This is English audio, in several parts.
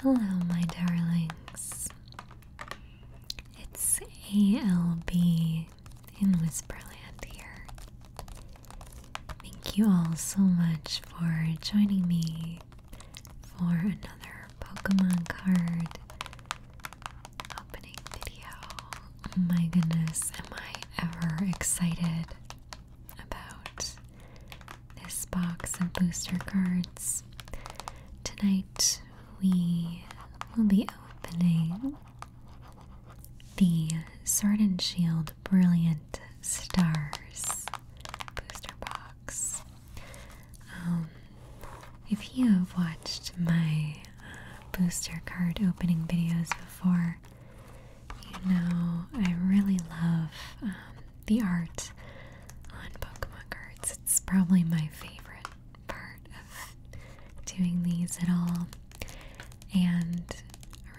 Hello, my darlings. It's ALB in Whisperland here. Thank you all so much for joining me for another Pokemon card opening video. Oh my goodness, am I ever excited! about this box of booster cards. Tonight we will be opening the Sword and Shield Brilliant Stars booster box. Um, if you have watched my uh, booster card opening videos before, you know I really love um, the art on Pokemon cards. It's probably my favorite part of doing these at all. And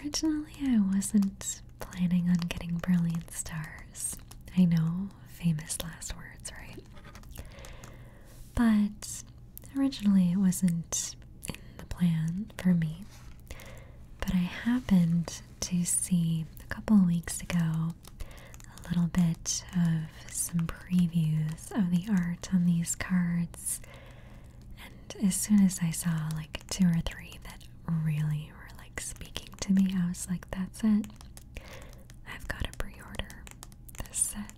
originally, I wasn't planning on getting Brilliant Stars. I know, famous last words, right? But originally, it wasn't in the plan for me. But I happened to see a couple weeks ago a little bit of some previews of the art on these cards. And as soon as I saw like two or three that really were like speaking to me, I was like, that's it. I've got to pre order this set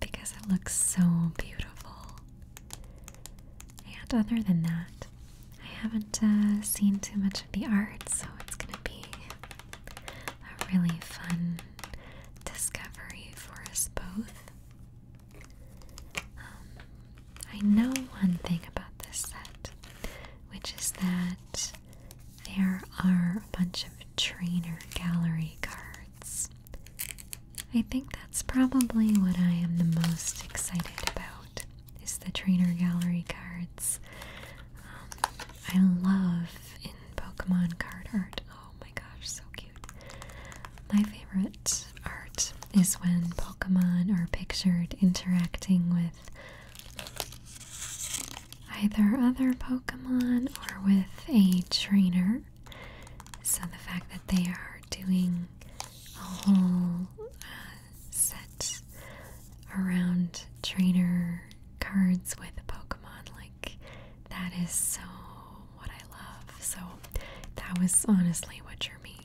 because it looks so beautiful. And other than that, I haven't uh, seen too much of the art, so it's going to be a really fun discovery for us both. Um, I know one thing about this set, which is that there are a bunch of trainer gallery cards. I think that's probably what I am the most excited about is the trainer gallery cards. Um, I love in Pokemon card art. Oh my gosh, so cute. My favorite art is when Pokemon are pictured interacting with either other Pokemon or with a trainer. So the fact that they are doing set around trainer cards with Pokemon. Like, that is so what I love. So, that was honestly what you're me.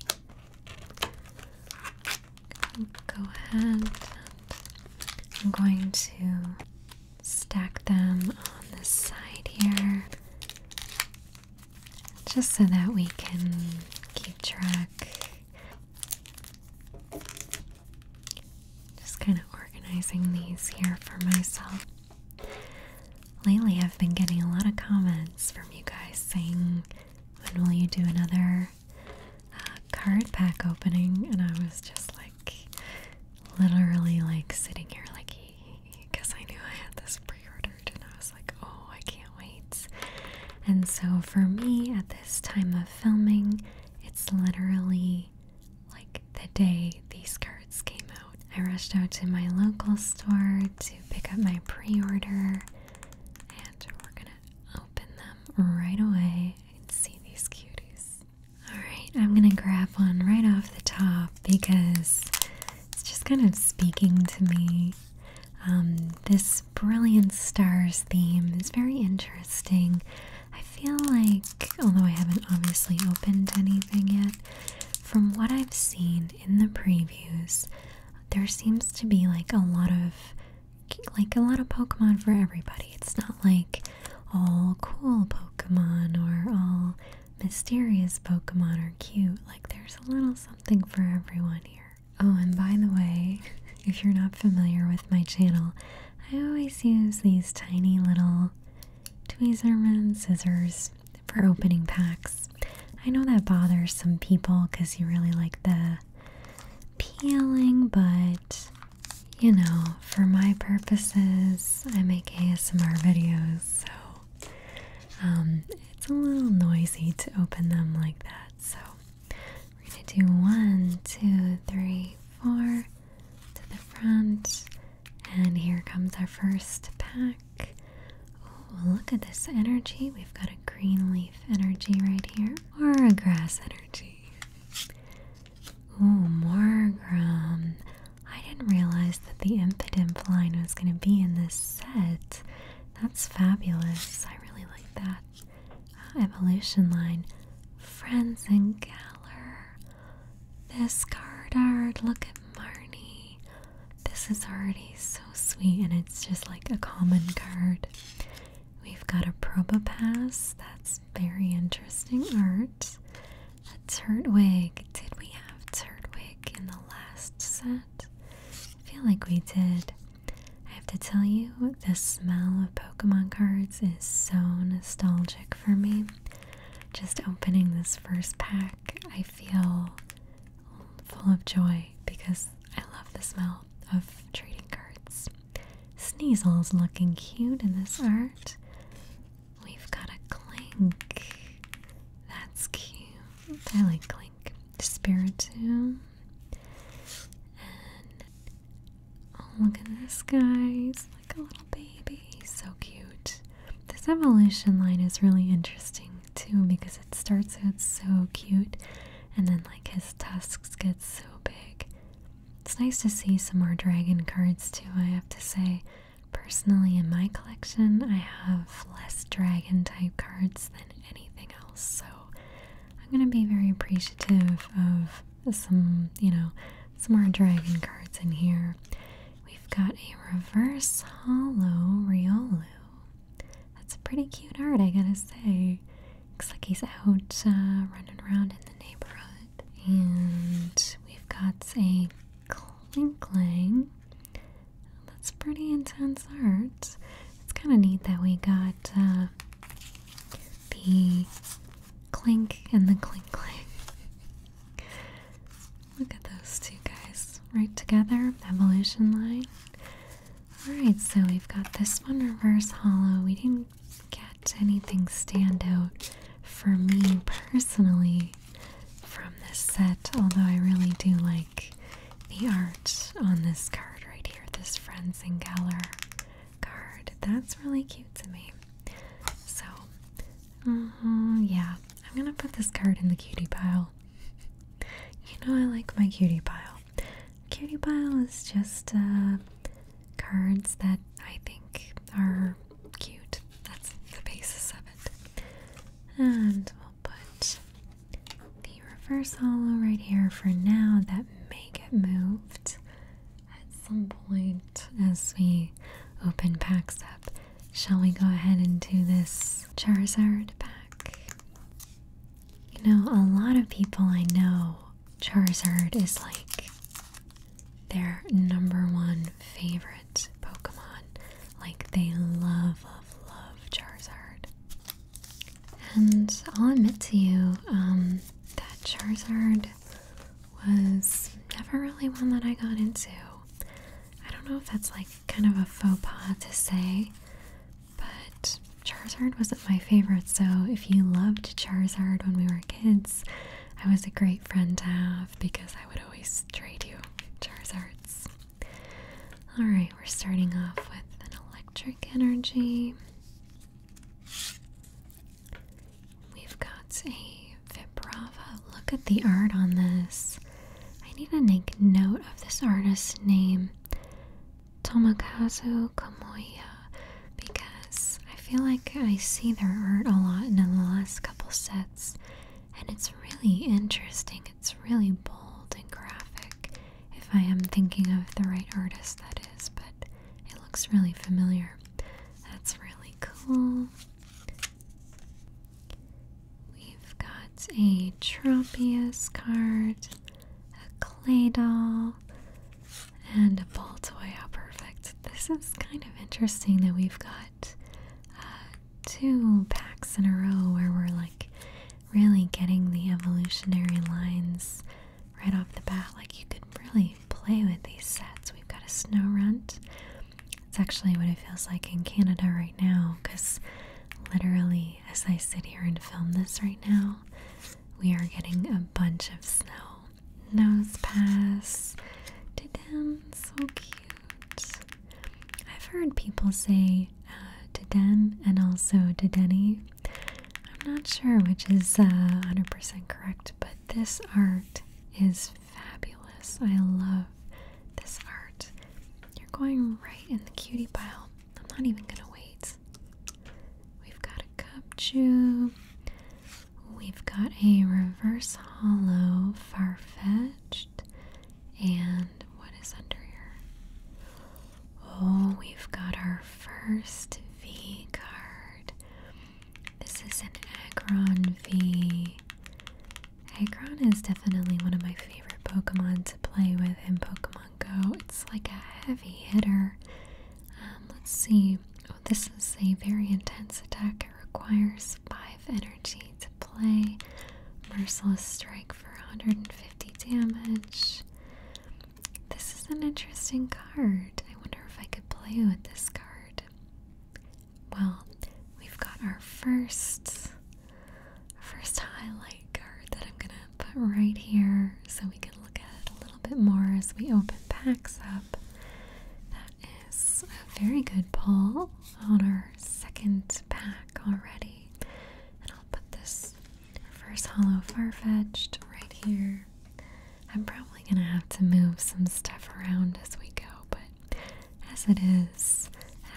Go ahead. And I'm going to stack them on this side here just so that we can keep track just kind of organizing these here for myself. Lately, I've been getting a lot of comments from you guys saying, When will you do another uh, card pack opening? And I was just like, literally, like sitting here, like, because I knew I had this pre ordered, and I was like, Oh, I can't and so for me at this time of filming, it's literally like the day these cards came out. I rushed out to my local store to pick up my pre order, and we're gonna open them right away and see these cuties. Alright, I'm gonna grab one right off the top because it's just kind of speaking to me. Um, this Brilliant Stars theme is very interesting. I feel like, although I haven't obviously opened anything yet, from what I've seen in the previews, there seems to be like a lot of like a lot of Pokemon for everybody. It's not like all cool Pokemon or all mysterious Pokemon or cute. Like there's a little something for everyone here. Oh, and by the way, if you're not familiar with my channel, I always use these tiny little Tweezerman scissors for opening packs. I know that bothers some people because you really like the peeling, but you know, for my purposes, I make ASMR videos, so um, it's a little noisy to open them like that. So we're going to do one, two, three, four to the front. And here comes our first pack. Oh, look at this energy. We've got a green leaf energy right here, or a grass energy. Oh, Morgrum. I didn't realize that the Impidimp line was going to be in this set. That's fabulous. I really like that. Evolution line. Friends and Galler. This card art. Look at Marnie. This is already so sweet, and it's just like a common card. We've got a Probopass. That's very interesting art. A Turtwig. Did we have Turtwig in the last set? feel like we did. I have to tell you, the smell of Pokemon cards is so nostalgic for me. Just opening this first pack, I feel full of joy because I love the smell of trading cards. Sneasel's looking cute in this art. We've got a Clink. That's cute. I like Clink like Spiritomb. And oh, look at this guy. He's like a little baby. so cute. This evolution line is really interesting too because it starts out so cute and then like his tusks get so big. It's nice to see some more dragon cards too, I have to say. Personally, in my collection, I have less dragon type cards than anything else, so I'm gonna be very appreciative of some, you know, some more dragon cards in here. We've got a reverse hollow Riolu. That's a pretty cute art, I gotta say. Looks like he's out uh, running around in the neighborhood. And we've got a Klinkling. That's pretty intense art. It's kind of neat that we got uh, the clink and the clink clink. Look at those two guys right together, evolution line. Alright, so we've got this one reverse hollow. We didn't get anything stand out for me personally from this set, although I really do like the art on this card right here, this Friends and Geller card. That's really cute to me. So, uh-huh, yeah, I'm gonna put this card in the cutie pile. You know, I like my cutie pile. Cutie pile is just uh, cards that I think are cute. That's the basis of it. And we'll put the reverse hollow right here for now that may get moved at some point as we open packs up. Shall we go ahead and do this Charizard pack? You know, a lot of people I know, Charizard is like their number one favorite Pokemon. Like, they love, love, love Charizard. And I'll admit to you um, that Charizard was never really one that I got into. I don't know if that's like kind of a faux pas to say, but Charizard wasn't my favorite. So if you loved Charizard when we were kids, I was a great friend to have because I would always trade you Charizards. Alright, we're starting off with an electric energy. We've got a Vibrava. Look at the art on this. I need to make note of this artist's name, Tomokazu Kamoya, because I feel like I see their art a lot in the last couple sets, and it's really interesting. It's really bold and graphic, if I am thinking of the right artist, that is, but it looks really familiar. That's really cool. We've got a Tropius card, a clay doll, and a ball toy. How perfect. This is kind of interesting that we've got uh, two packs in a row where we're like really getting the evolutionary lines right off the bat. Like you could really play with these sets. We've got a snow runt. It's actually what it feels like in Canada right now because literally as I sit here and film this right now, we are getting a bunch of snow. Nose pass. Didem, so cute. I've heard people say uh, Diden and also Dideni. I'm not sure which is uh, 100% correct, but this art is fabulous. I love this art. You're going right in the cutie pile. I'm not even gonna wait. We've got a cup chew. We've got a reverse hollow far-fetched. And what is under here? Oh, we've got our first V card. This is an Aggron V. Aggron is definitely one of my favorite Pokemon to play with in Pokemon Go. It's like a heavy hitter. Um, let's see. Oh, this is a very intense attack. It requires 5 energy to play. Merciless Strike for 150 damage. This is an interesting card. I wonder if I could play with this card. Well, we've got our first first highlight card that I'm gonna put right here so we can look at it a little bit more as we open packs up. That is a very good pull on our second pack already. And I'll put this First, hollow far-fetched right here. I'm probably gonna have to move some stuff around as we go, but as it is,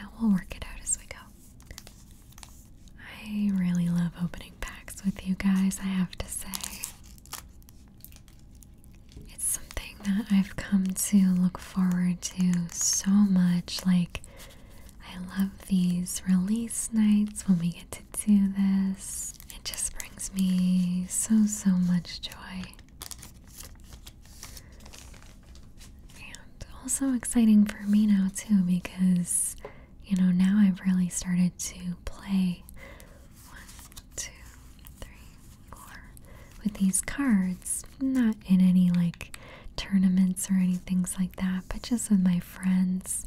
uh, we'll work it out as we go. I really love opening packs with you guys, I have to say. It's something that I've come to look forward to so much, like I love these release nights when we get to do this. It just brings me so, so much joy. And also exciting for me now, too, because, you know, now I've really started to play one, two, three, four with these cards. Not in any like tournaments or anything like that, but just with my friends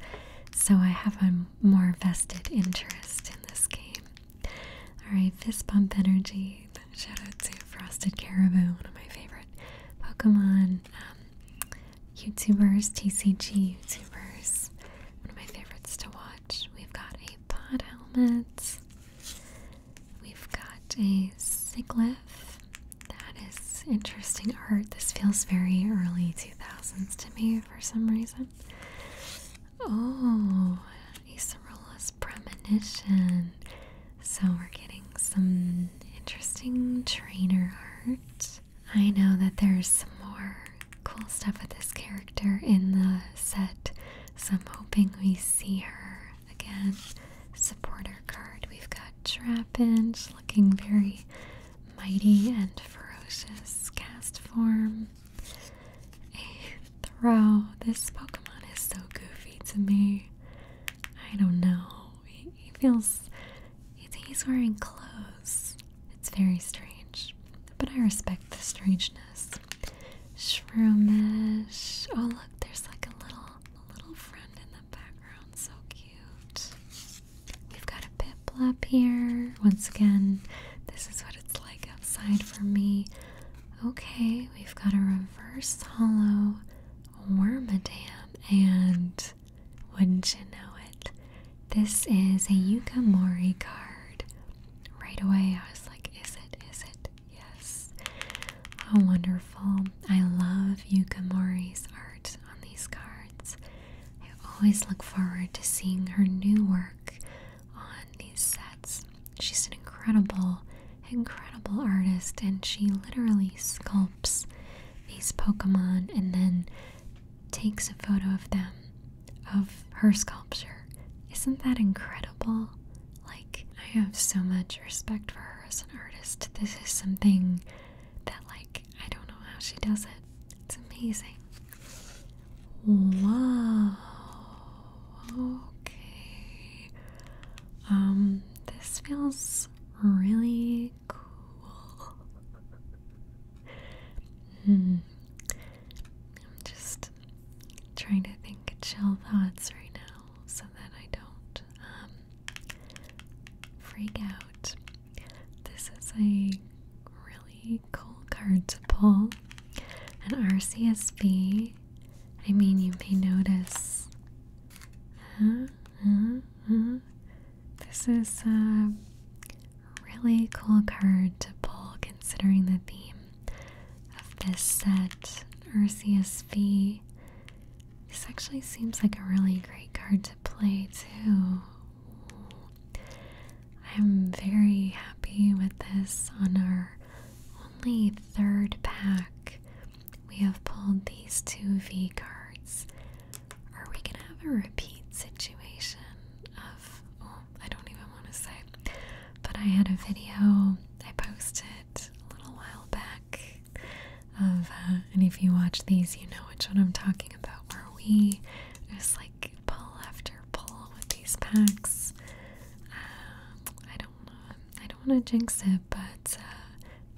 so I have a more vested interest in this game. Alright, fist bump energy. Shout out to Frosted Caribou, one of my favorite Pokemon um, YouTubers, TCG YouTubers. One of my favorites to watch. We've got a pod helmet. We've got a Siglyph. That is interesting art. This feels very early 2000s to me for some reason. Oh, Isarola's premonition. So we're getting some interesting trainer art. I know that there's some more cool stuff with this character in the set, so I'm hoping we see her again. Supporter card. We've got Trapinch looking very mighty and ferocious cast form. A throw. This Pokemon is so goofy to me. I don't know. He, feels. He's wearing clothes. It's very strange. But I respect the strangeness. Shroomish. Oh, look, there's like a little, a little friend in the background. So cute. We've got a piplop here. Once again, this is what it's like outside for me. Okay, we've got a reverse hollow wormadam, and wouldn't you know it, this is a Yukamori card. Right away, I was like, is it? Is it? Yes. How wonderful. I love Yukamori's art on these cards. I always look forward to seeing her new work on these sets. She's an incredible, incredible artist, and she literally sculpts these Pokemon and then takes a photo of them, of her sculpture. Isn't that incredible? Like, I have so much respect for her as an artist. This is something that, like, I don't know how she does it. It's amazing. Wow. Okay. Um, this feels really cool. hmm. I'm just trying to think chill thoughts right now so that I don't um, freak out. This is a really cool card to pull. An RCSB. I mean, you may notice. Uh, uh, uh. this is a really cool card to pull considering the theme of this set, RCSV. This actually seems like a really great card to play, too. I'm very happy with this on our only third pack. We have pulled these two V cards. Are we gonna have a repeat situation of oh I don't even want to say. But I had a video I posted a little while back of uh, and if you watch these, you know which one I'm talking about, where we just like pull after pull with these packs. Um, I don't know, I don't want to jinx it, but uh,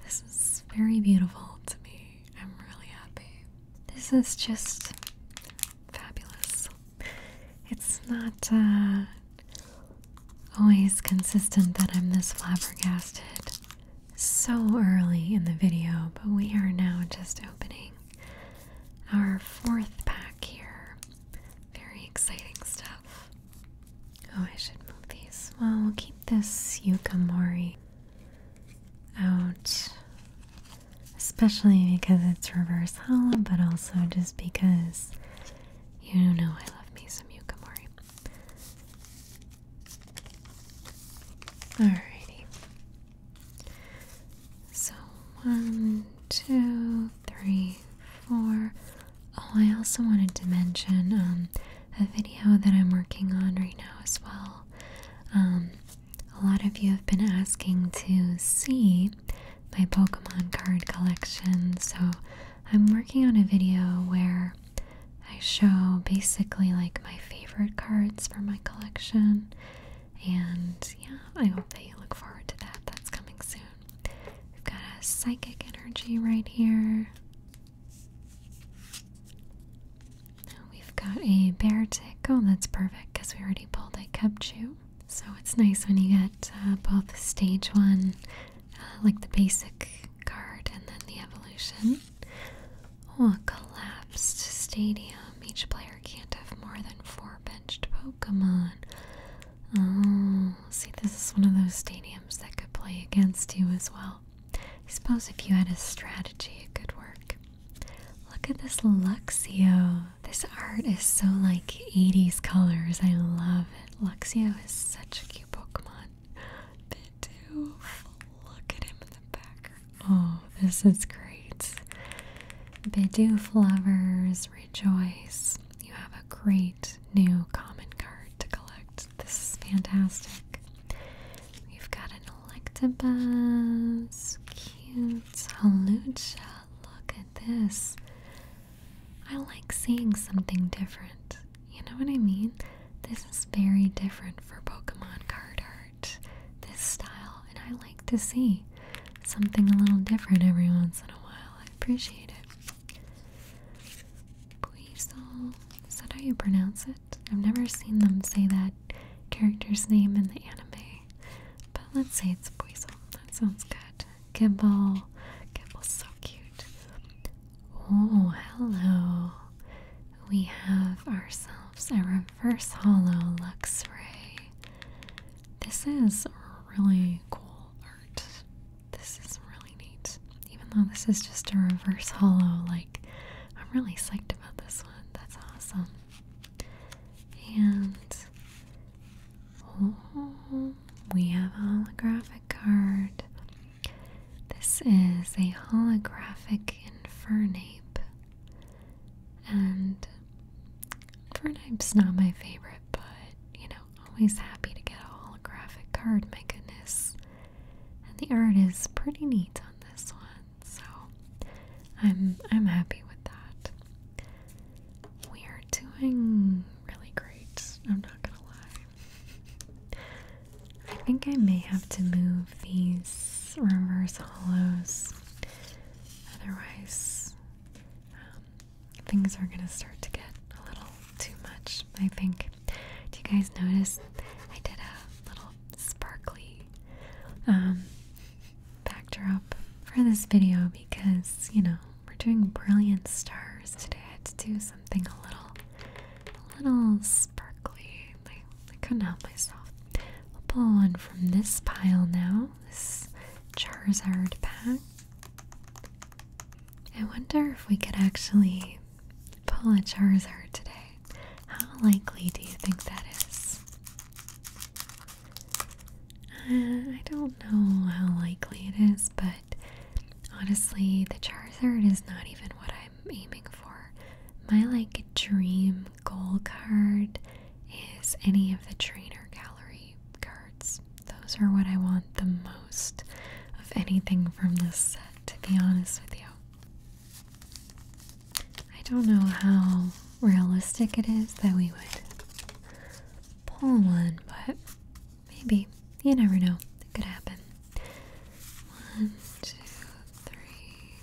this is very beautiful to me. I'm really happy. This is just fabulous. It's not uh, always consistent that I'm this flabbergasted so early in the video, but we are now just opening our fourth pack here. Very exciting stuff. Oh, I should move these. Well, we'll keep this Yukamori out, especially because it's reverse hollow, but also just because you know I love me some Yukamori. Alrighty. So one, two, three, four. Oh, I also wanted to mention um, a video that I'm working on right now as well. Um, a lot of you have been asking to see my Pokemon card collection, so I'm working on a video where I show basically like my favorite cards from my collection. And yeah, I hope that you look forward to that. That's coming soon. We've got a psychic energy right here. We've got a bear tick. Oh, that's perfect because we already pulled a Kepchu. So it's nice when you get uh, both stage one, uh, like the basic card, and then the evolution. Oh, a collapsed stadium. Each player can't have more than four benched Pokemon. Oh, see, this is one of those stadiums that could play against you as well. I suppose if you had a strategy, it could work. Look at this Luxio. This art is so like 80s colors. I love it. Luxio is such a cute Pokemon. Look at him in the background oh, this is great. Bidoo lovers rejoice. You have a great new common card to collect. This is fantastic. We've got an Electabuzz, cute. Halucha, look at this. I like seeing something different. You know what I mean? This is very different for Pokemon card art this style, and I like to see something a little different every once in a while. I appreciate it. Buizel, is that how you pronounce it? I've never seen them say that character's name in the anime, but let's say it's Buizel. That sounds good. Gimbal, Gimble's so cute. Oh, hello we have ourselves a reverse hollow Luxray. This is really cool art. This is really neat. Even though this is just a reverse hollow, like I'm really psyched about this one. That's awesome. And oh, we have a holographic card. This is a holographic Infernape. And Overnime's not my favorite, but you know, always happy to get a holographic card, my goodness. And the art is pretty neat on this one, so I'm I'm happy with that. We are doing really great, I'm not gonna lie. I think I may have to move these reverse hollows, otherwise, um, things are gonna start to get a little too much. I think. Do you guys notice I did a little sparkly um, backdrop for this video because you know we're doing brilliant stars today. I had to do something a little, a little sparkly. Like I couldn't help myself. I'll pull one from this pile now. This Charizard pack. I wonder if we could actually pull a Charizard today. How likely do you think that is? Uh, I don't know how likely it is, but honestly, the Charizard is not even what I'm aiming for. My like dream goal card is any of the trainer gallery cards. Those are what I want the most of anything from this set, to be honest with you. I don't know how realistic it is that we would pull one, but maybe. You never know. It could happen. One, two, three,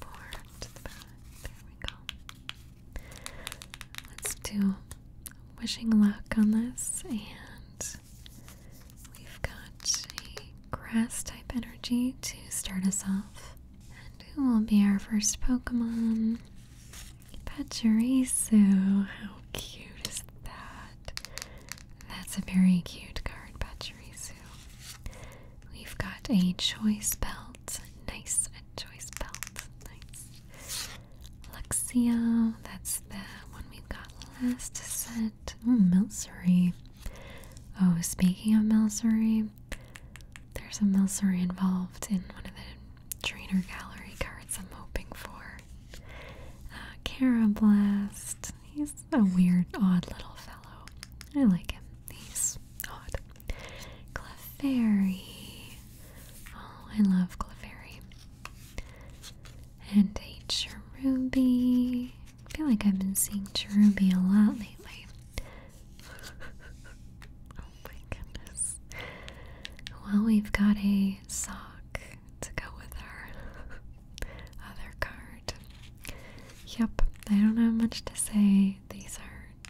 four, there we go. Let's do wishing luck on this, and we've got a grass type energy to start us off. And it will be our first Pokemon? Pachirisu. How cute is that? That's a very cute card, Pachirisu. We've got a choice belt. Nice, a choice belt. Nice. Luxio, that's the one we have got last set. Milsuri. Oh, speaking of Milsuri, there's a Milsuri involved in one of the trainer gallery cards I'm hoping for. Uh, Carablast, a weird, odd little fellow. I like him. He's odd. Clefairy. Oh, I love Clefairy. And a I feel like I've been seeing Cherubi a lot lately. oh my goodness. Well, we've got a sock to go with our other card. Yep, I don't have much to say. These are,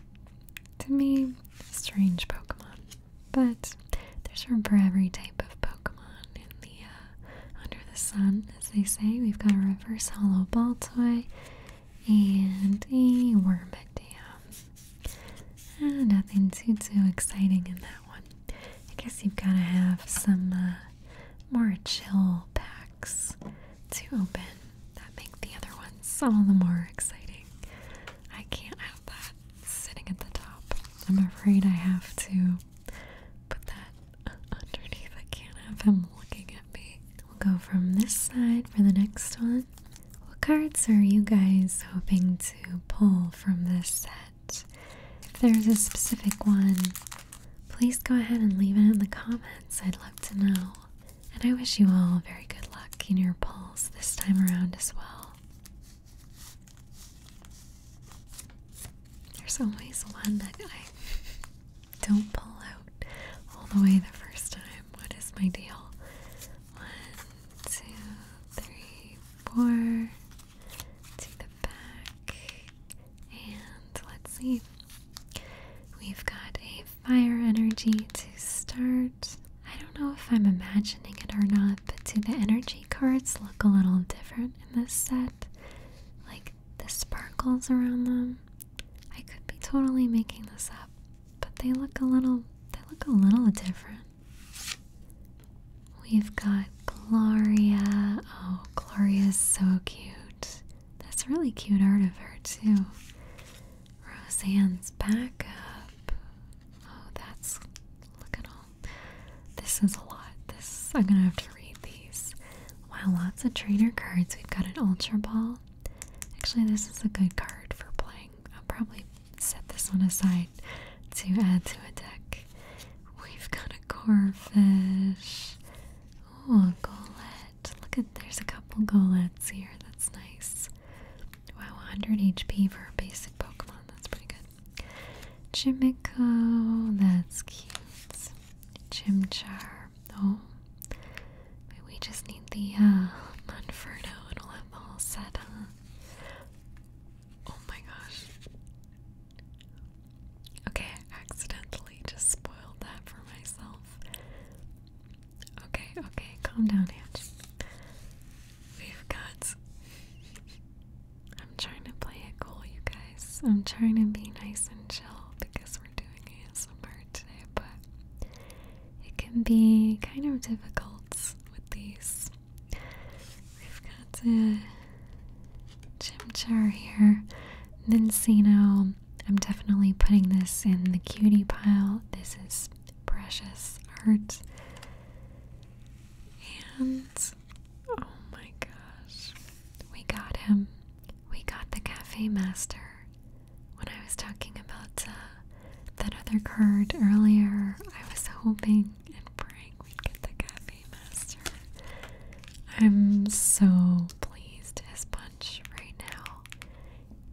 to me, strange Pokemon. But there's room for every type of Pokemon in the uh, under the sun, as they say. We've got a reverse hollow ball toy and a worm dam. Uh, nothing too too exciting in that one. I guess you've got to have some uh, more chill packs to open that make the other ones all the more exciting. I can't have that sitting at the top. I'm afraid I have to put that underneath. I can't have him looking at me. We'll go from this side for the next one. What cards are you guys hoping to pull from this set? If there's a specific one Please go ahead and leave it in the comments. I'd love to know. And I wish you all very good luck in your polls this time around as well. There's always one that I don't pull out all the way the first time. What is my deal? One, two, three, four. To the back. And let's see. We've got a fire energy to start. I don't know if I'm imagining it or not, but do the energy cards look a little different in this set? Like the sparkles around them? I could be totally making this up, but they look a little they look a little different. We've got Gloria. Oh, Gloria's so cute. That's really cute art of her, too. Roseanne's backup. Oh, that's. Look at all. This is a lot. This. I'm gonna have to read these. Wow, lots of trainer cards. We've got an Ultra Ball. Actually, this is a good card for playing. I'll probably set this one aside to add to a deck. We've got a Corfish. Oh, a Golett. Look at there's a couple golets here. That's nice. Wow, 100 HP for a basic Pokemon. That's pretty good. Chimico, that's cute. Chimchar. Oh, we just need the uh, Monferno and we'll the whole set, huh? Oh my gosh. Okay, I accidentally just spoiled that for myself. Okay, okay, calm down, Ange. We've got. I'm trying to play it cool, you guys. I'm trying to be nice and chill because we're doing a ASMR today, but it can be kind of difficult with these. We've got the Chimchar here, Nincino, I'm definitely putting this in the cutie pile. This is precious art. And oh my gosh, we got him. We got the cafe master. When I was talking about uh, that other card earlier, I was hoping and praying we'd get the cafe master. I'm so pleased as punch right now.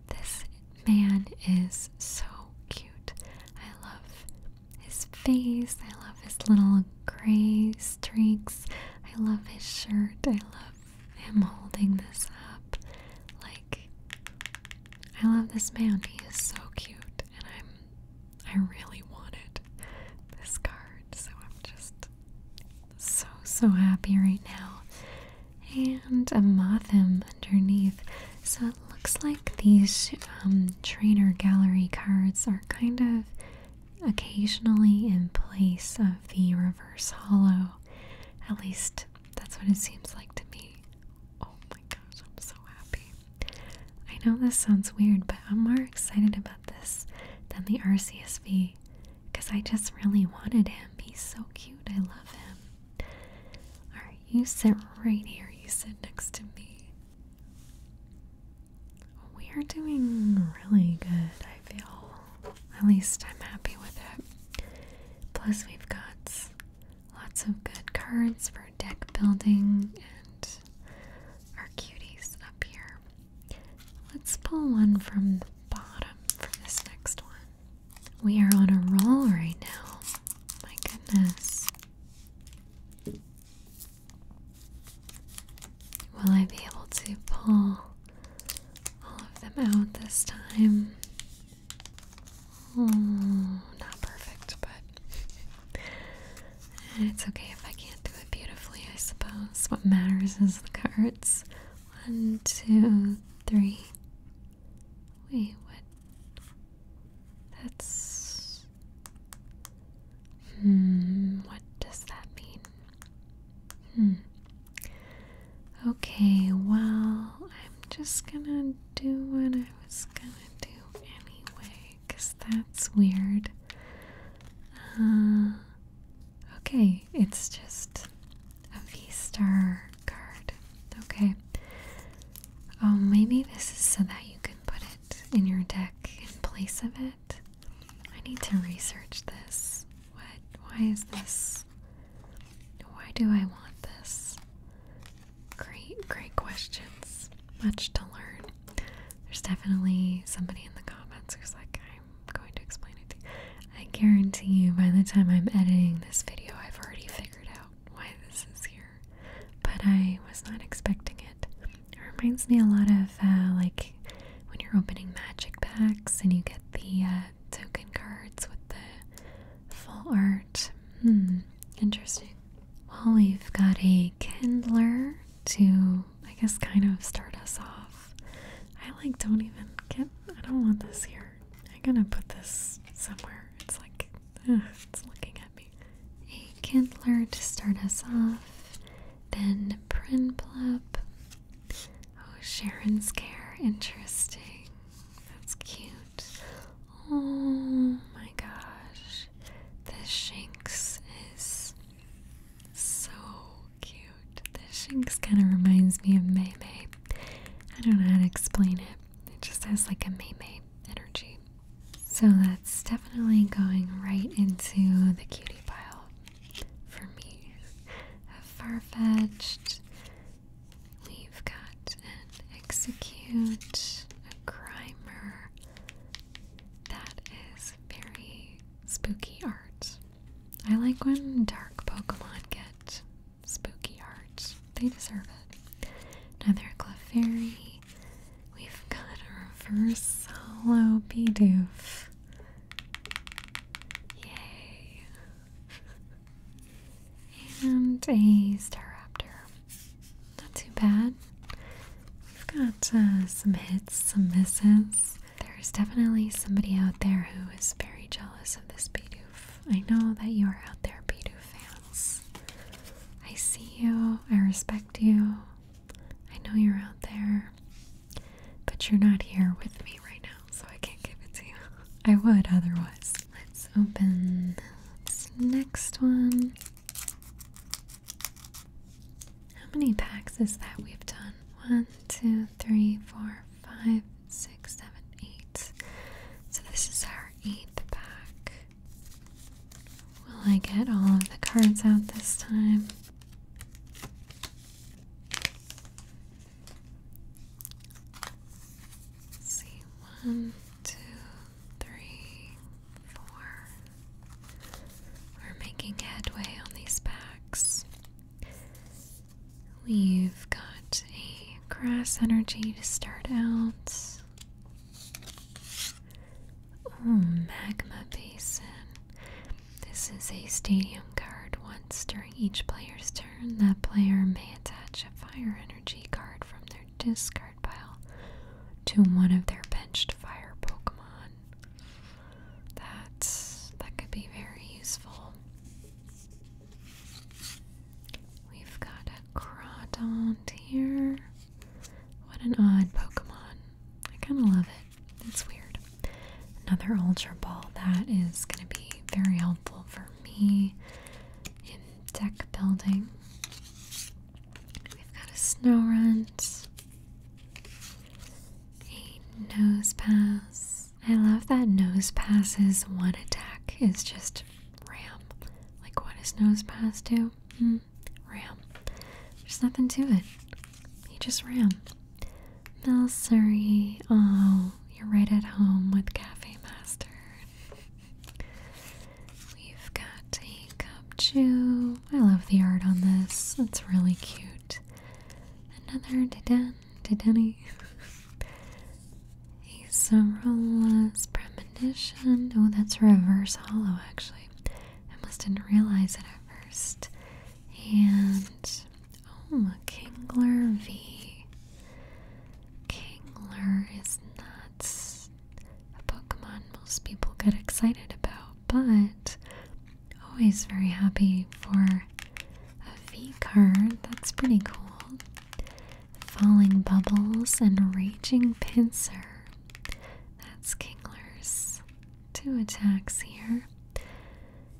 This man is so cute. I love his face. I love his little gray streaks. I love his shirt. I love him holding this up. Like, I love this man. He is so cute, and I'm. I really wanted this card, so I'm just so, so happy right now. And a Mothim underneath. So it looks like these um, trainer gallery cards are kind of occasionally in place of the reverse hollow. At least that's what it seems like to me. Oh my gosh, I'm so happy. I know this sounds weird, but I'm more excited about this than the RCSV because I just really wanted him. He's so cute. I love him. Alright, you sit right here. You sit next to me. We are doing really good, I feel. At least I'm happy with it. Plus, we've got lots of good cards for deck building and our cuties up here. Let's pull one from the bottom for this next one. We are on a roll right now. My goodness. Will I be able to pull all of them out this time? Oh, not perfect, but it's okay if I can't do it beautifully, I suppose. What matters is the cards. One, two, three. Wait, what? That's. Hmm, what does that mean? Hmm. Okay, well, I'm just gonna do what I was gonna do anyway, because that's weird. Uh, Okay, it's just a V-Star card. Okay. Oh, maybe this is so that you can put it in your deck in place of it. I need to research this. What? Why is this? Why do I want this? Great, great questions. Much to learn. There's definitely somebody in the comments who's like, going to explain it I guarantee you by the time I'm editing this video, I've already figured out why this is here. But I was not expecting it. It reminds me a lot of uh, like when you're opening magic packs and you get the uh, token cards with the full art. Hmm, interesting. Well, we've got a Kindler to, I guess, kind of start us off. I like don't even get I don't want this here. I'm gonna put this somewhere. It's like ugh, it's looking at me. A Kindler to start us off. Then Prinplup. Oh, Sharon's care. Interesting. That's cute. Oh my gosh. the shanks is so cute. This Shinx kind of reminds me of Maymay. I don't know how to explain it. It just has like a Maymay energy. So that's definitely going right into the cutie pile for me. A far-fetched. We've got an execute, a grimer. That is very spooky art. I like when dark Pokemon get spooky art. They deserve it. Another Clefairy. We've got a reverse hollow Bidoof. Yay. and a Staraptor. Not too bad. We've got uh, some hits, some misses. There's definitely somebody out there who is very jealous of this Bidoof. I know that you are out there, Bidoof fans. I see you, I respect you. I know you're out there, but you're not here with me right now, so I can't give it to you. I would otherwise. Let's open this next one. How many packs is that we've done? One, two, three, four, five, six, seven, eight. So this is our eighth pack. Will I get all of the cards out this time? see, one, two, three, four. We're making headway on these packs. We've got a grass energy to start out. Oh, magma basin. This is a stadium card. Once during each player's turn, that player may attach a fire energy card from their discard pile to one of their benched fire Pokemon that that could be very useful. We've got a Crawdont here. What an odd Pokemon. I kind of love it. It's weird. Another Ultra Ball. That is going to be very helpful for me in deck building. We've got a Snow Run, a Nose Pass. I love that nose passes one attack is just ram. Like what does nose pass do? Hmm. Ram. There's nothing to it. He just ram. Mel Surrey. Oh, you're right at home with Cafe Master. We've got a cup chew. I love the art on this. It's really cute. Another da to Denny. Acerola's premonition. Oh, that's reverse hollow, actually. I almost didn't realize it at first. And oh, a Kingler V. Kingler is not a Pokemon most people get excited about, but always very happy for a V card. That's pretty cool. Falling Bubbles and Raging Pincer. That's Kingler's. Two attacks here.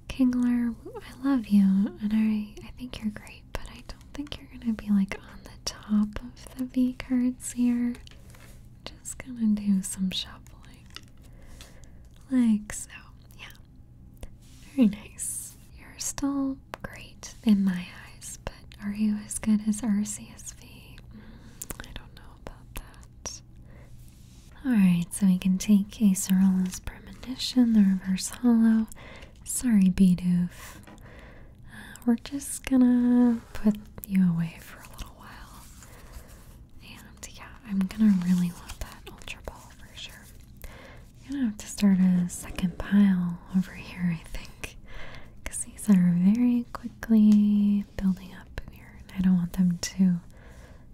Kingler, I love you and I, I think you're great, but I don't think you're gonna be like on the top of the V cards here. Just gonna do some shuffling. Like so. Yeah, very nice. You're still great in my eyes, but are you as good as RCSV? Mm, I don't know about that. Alright, so we can take Acerola's Premonition, the Reverse Hollow. Sorry, Bidoof. Uh, we're just gonna put you away for a little while. And yeah, I'm gonna really want that Ultra Ball for sure. I'm gonna have to start a second pile over here, I think. Because these are very quickly building up here, I don't want them to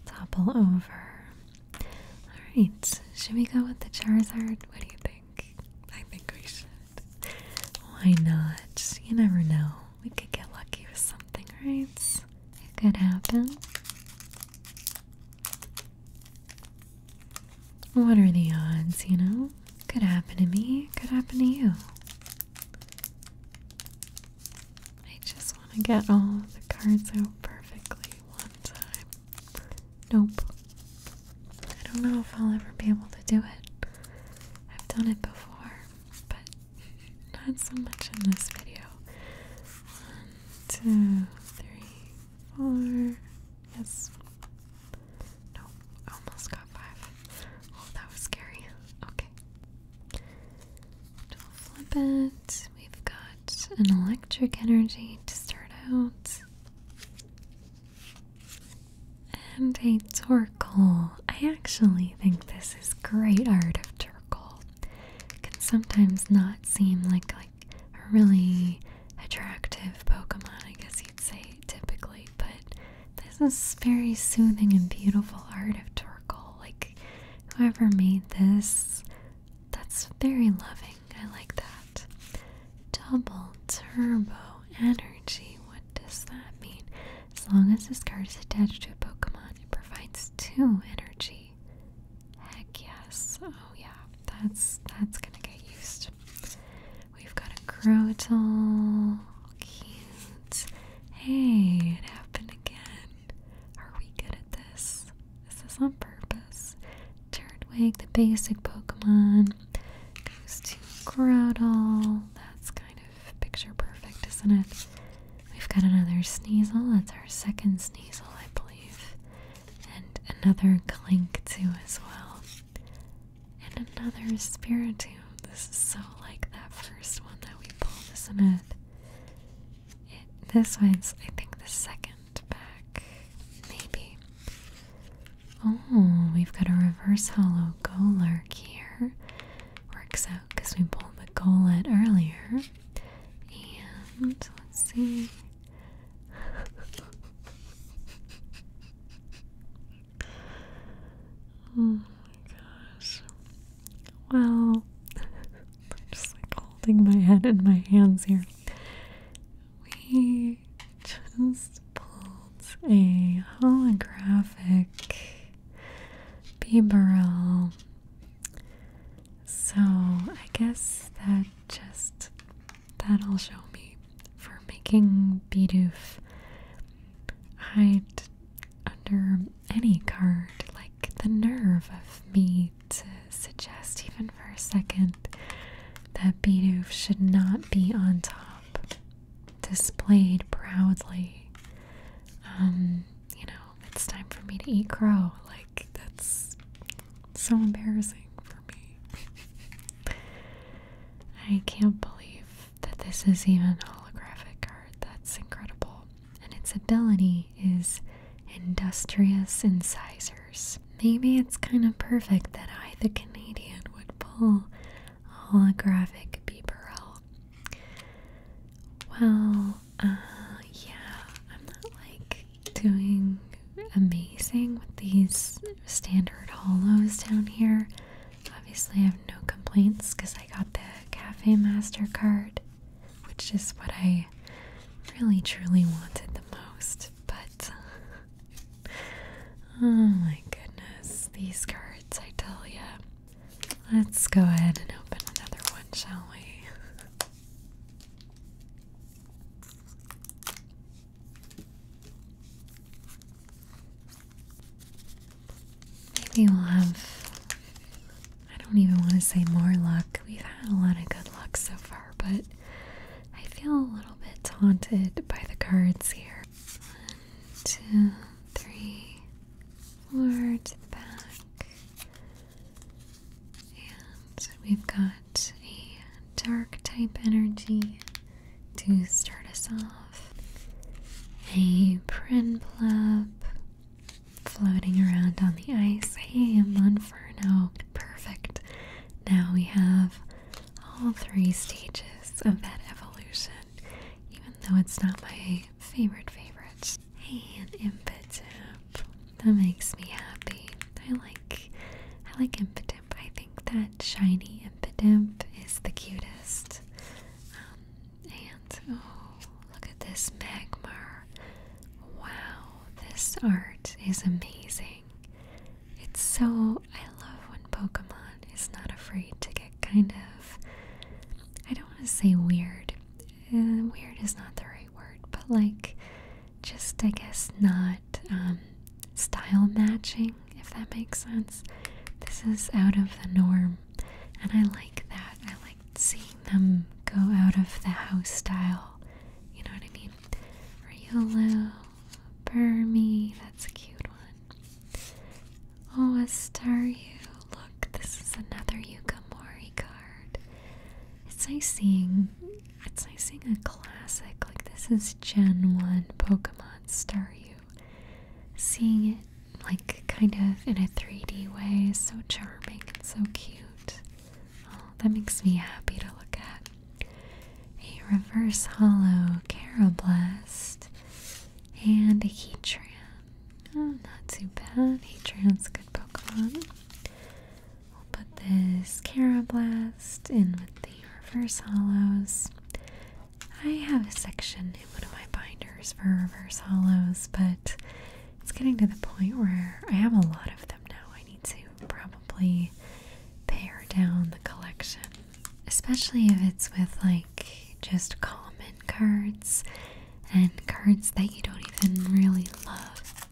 topple over. Alright, should we go with the Charizard? What do you think? I think we should. Why not? You never know. We could get lucky with something, right? It could happen. What are the odds, you know? Could happen to me, could happen to you. I just want to get all the cards out perfectly one time. Nope. I don't know if I'll ever be able to do it. I've done it before, but not so much in this video. Um, two, three, four. Yes. No, almost got five. Oh, that was scary. Okay. we flip it. We've got an electric energy to start out. And a torkoal. I actually think this is great art of circle can sometimes not seem like like a really attractive Pokemon, I guess you'd say typically, but this is very soothing and beautiful art of Torkoal. Like whoever made this, that's very loving. I like that. Double turbo energy. What does that mean? As long as this card is attached to a Pokemon, it provides two energy Heck yes. Oh yeah, that's that's gonna get used. We've got a Crotal. Cute. Hey, it happened again. Are we good at this? This Is on purpose? Turtwig, the basic Pokemon, goes to Groudon. That's kind of picture perfect, isn't it? We've got another Sneasel. That's our second Sneasel, I believe. And another Clink, too, as well. And another Spiritomb. This is so like that first one that we pulled, isn't it? this one's, I think, the second pack. Maybe. Oh, we've got a reverse hollow Golurk here. Works out because we pulled the Golette earlier. And let's see. oh my gosh. Well, I'm just like holding my head in my hands here. We just pulled a holographic Bieberl so I guess that just that'll show me for making Bidoof hide under any card. Like the nerve of me to suggest even for a second that Bidoof should not be on top, displayed proudly. Um, you know, it's time for me to eat crow. Like, that's so embarrassing for me. I can't believe that this is even holographic art. That's incredible. And its ability is industrious incisors. Maybe it's kind of perfect that I, the Canadian, would pull a holographic out. Well, uh, yeah, I'm not like doing amazing with these standard holos down here. Obviously, I have no complaints because I got the Cafe Mastercard, which is what I really truly wanted the most. But oh my goodness, these cards, I tell ya. Let's go ahead and open another one, shall we? Maybe we'll have, I don't even want to say more luck. We've had a lot of good luck so far, but I feel a little bit taunted by the cards here. One, two, three, four to the back. And we've got a dark type energy to start us off. A Prinplup floating around on the ice. Hey, a Monferno. Perfect. Now we have all three stages of that evolution, even though it's not my favorite favorite and Impotemp. That makes me happy. I like I like Impotemp. I think that shiny Impotemp is the cutest. Um, and oh, look at this Magmar. Wow, this art is amazing. It's so I love when Pokemon is not afraid to get kind of I don't want to say weird uh, weird is not the right word, but like just I guess not um, style matching, if that makes sense. This is out of the norm, and I like that. I like seeing them go out of the house style. You know what I mean? Riolo, Burmy, that's a cute one. Oh, a Staryu. Look, this is another Yukamori card. It's nice seeing it's nice seeing a classic like this is Gen 1 Pokemon Staryu. Seeing it like kind of in a 3D way so charming and so cute. Oh, that makes me happy to look at. A reverse hollow Carablast and a Heatran. Oh, not too bad. Heatran's good Pokemon. I'll put this Carablast in with the reverse hollows. I have a section in one of my binders for reverse hollows, but it's getting to the point where I have a lot of them now. I need to probably pare down the collection, especially if it's with like just common cards and cards that you don't even really love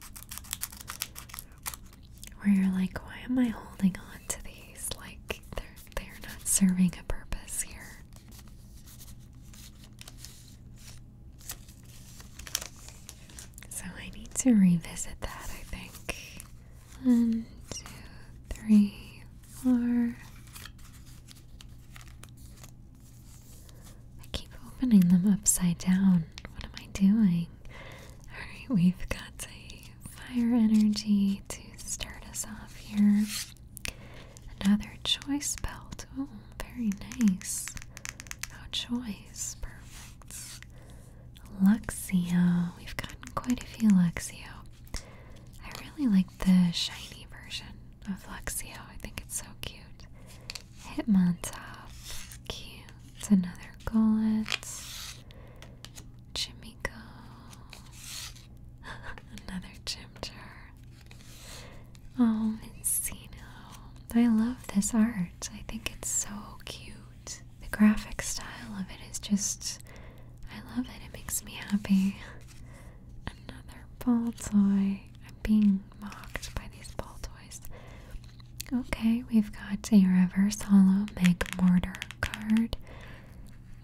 where you're like, why am I holding on to these? Like they're they're not serving a purpose here. So I need to revisit that, I think. One, two, three, four. I keep opening them upside down. What am I doing? Alright, we've got a fire energy to start us off here. Another choice belt. Oh, very nice. No oh, choice. Perfect. Luxio. We've gotten quite a few Luxio. I really like the shiny version of Luxio. I think it's so cute. Hitmontop. Cute. Another gullet. Chimico. Another Chimchar. Oh, Mincino. I love this art. I think it's so cute. The graphic style of it is just. I love it. It makes me happy. Another ball toy. I'm being mocked by these ball toys. Okay, we've got a reverse hollow Meg Mortar card.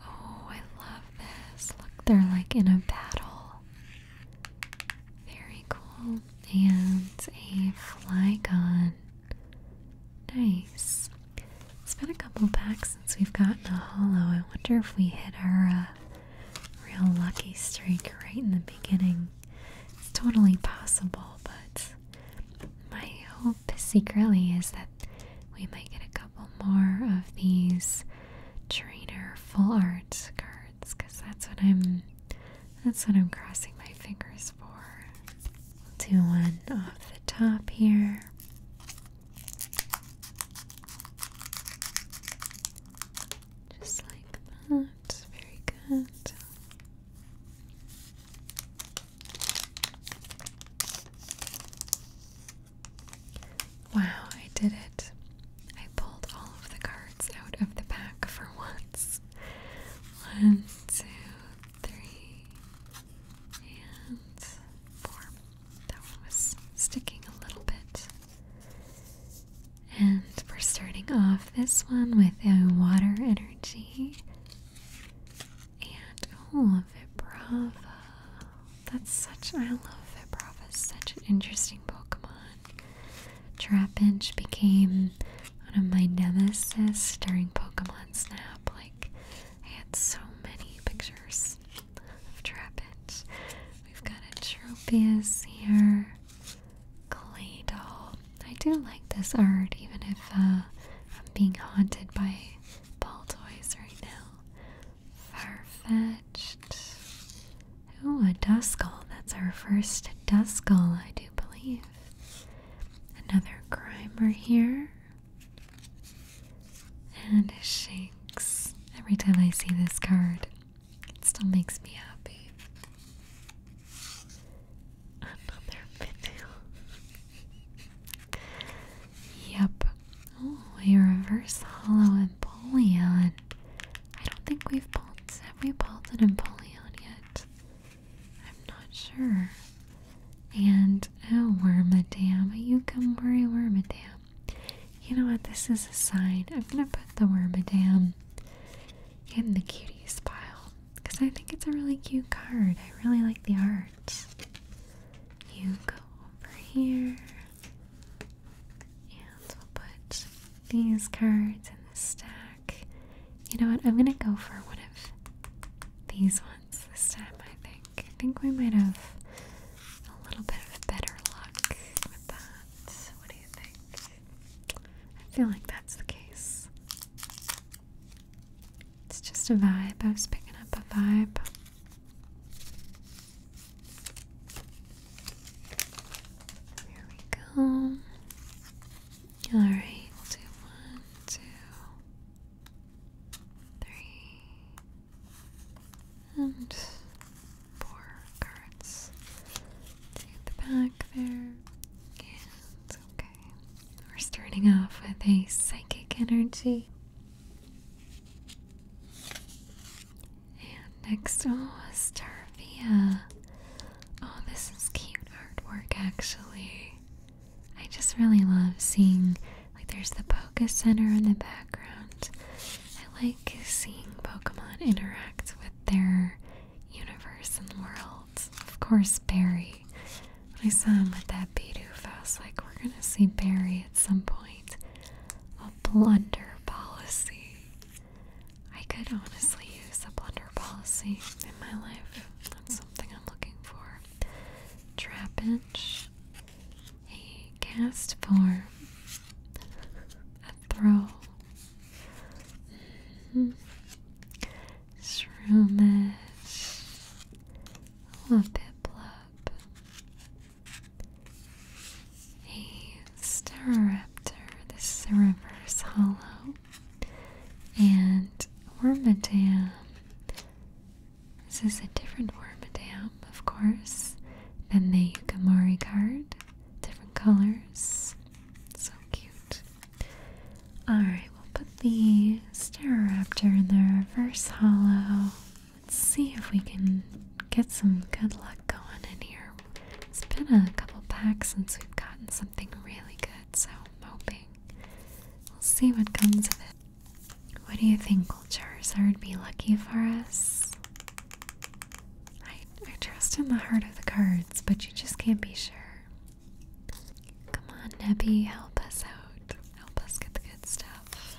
Oh, I love this. Look, they're like in a battle. Very cool. And a Flygon. Nice. It's been a couple packs since we've gotten a hollow. I wonder if we hit our uh, real lucky streak right in the beginning. It's totally possible, but my hope secretly is that we might get a couple more of these trainer full art cards because that's what I'm that's what I'm crossing my fingers for. We'll do one off the top here. Just like that. Very good. Wow, I did it. I pulled all of the cards out of the pack for once. One, two, three, and four. That one was sticking a little bit. And we're starting off this one with a water energy. And oh, Vibrava. That's such, I love Vibrava. Such an interesting Pokemon. Trapinch became one of my nemesis during Pokemon Snap. Like, I had so many pictures of Trapinch. We've got a Tropius here clay doll. I do like this art, even if uh, I'm being haunted by ball toys right now. Far-fetched. Oh, a Duskull. That's our first Duskull, I do believe. Another Grimer here. And a Shinx. Every time I see this card, it still makes me happy. Another video. yep. Oh, a reverse hollow and Empoleon. I don't think we've pulled have we pulled an Empoleon yet? I'm not sure. And oh Wormadam, you come worry Wormadam. You know what? This is a sign. I'm gonna put the Wormadam in the cuties pile because I think it's a really cute card. I really like the art. You go over here, and we'll put these cards in the stack. You know what? I'm gonna go for one of these ones this time. I think. I think we might have a little bit of better luck with that. What do you think? I feel like that's the case. It's just a vibe. I was picking up a vibe. Here we go. Alright, one, two, three, and four to the back there. And okay, we're starting off with a psychic energy. And next, oh, Starvia. Oh, this is cute artwork actually. I just really love seeing, like, there's the Poké Center in the background. I like seeing Pokemon interact with their universe and world. Of course, Barry. I saw him with that Bidoof, I was like, we're gonna see Barry at some point. A blunder policy. I could honestly use a blunder policy in my life. That's something I'm looking for. Trapinch. A cast form. A throw. Mm This room is a bit blub. A Staraptor. This is a reverse hollow. And Wormadam. This is a different Wormadam, of course, than the Yukamori Guard. Different colors. So cute. Alright, we'll put the Staraptor in the reverse hollow. Let's see if we can get some good luck going in here. It's been a couple packs since we've gotten something really good, so I'm hoping we'll see what comes of it. What do you think, will Charizard be lucky for us? I trust in the heart of the cards, but you just can't be sure. Come on, Nebby, help us out. Help us get the good stuff.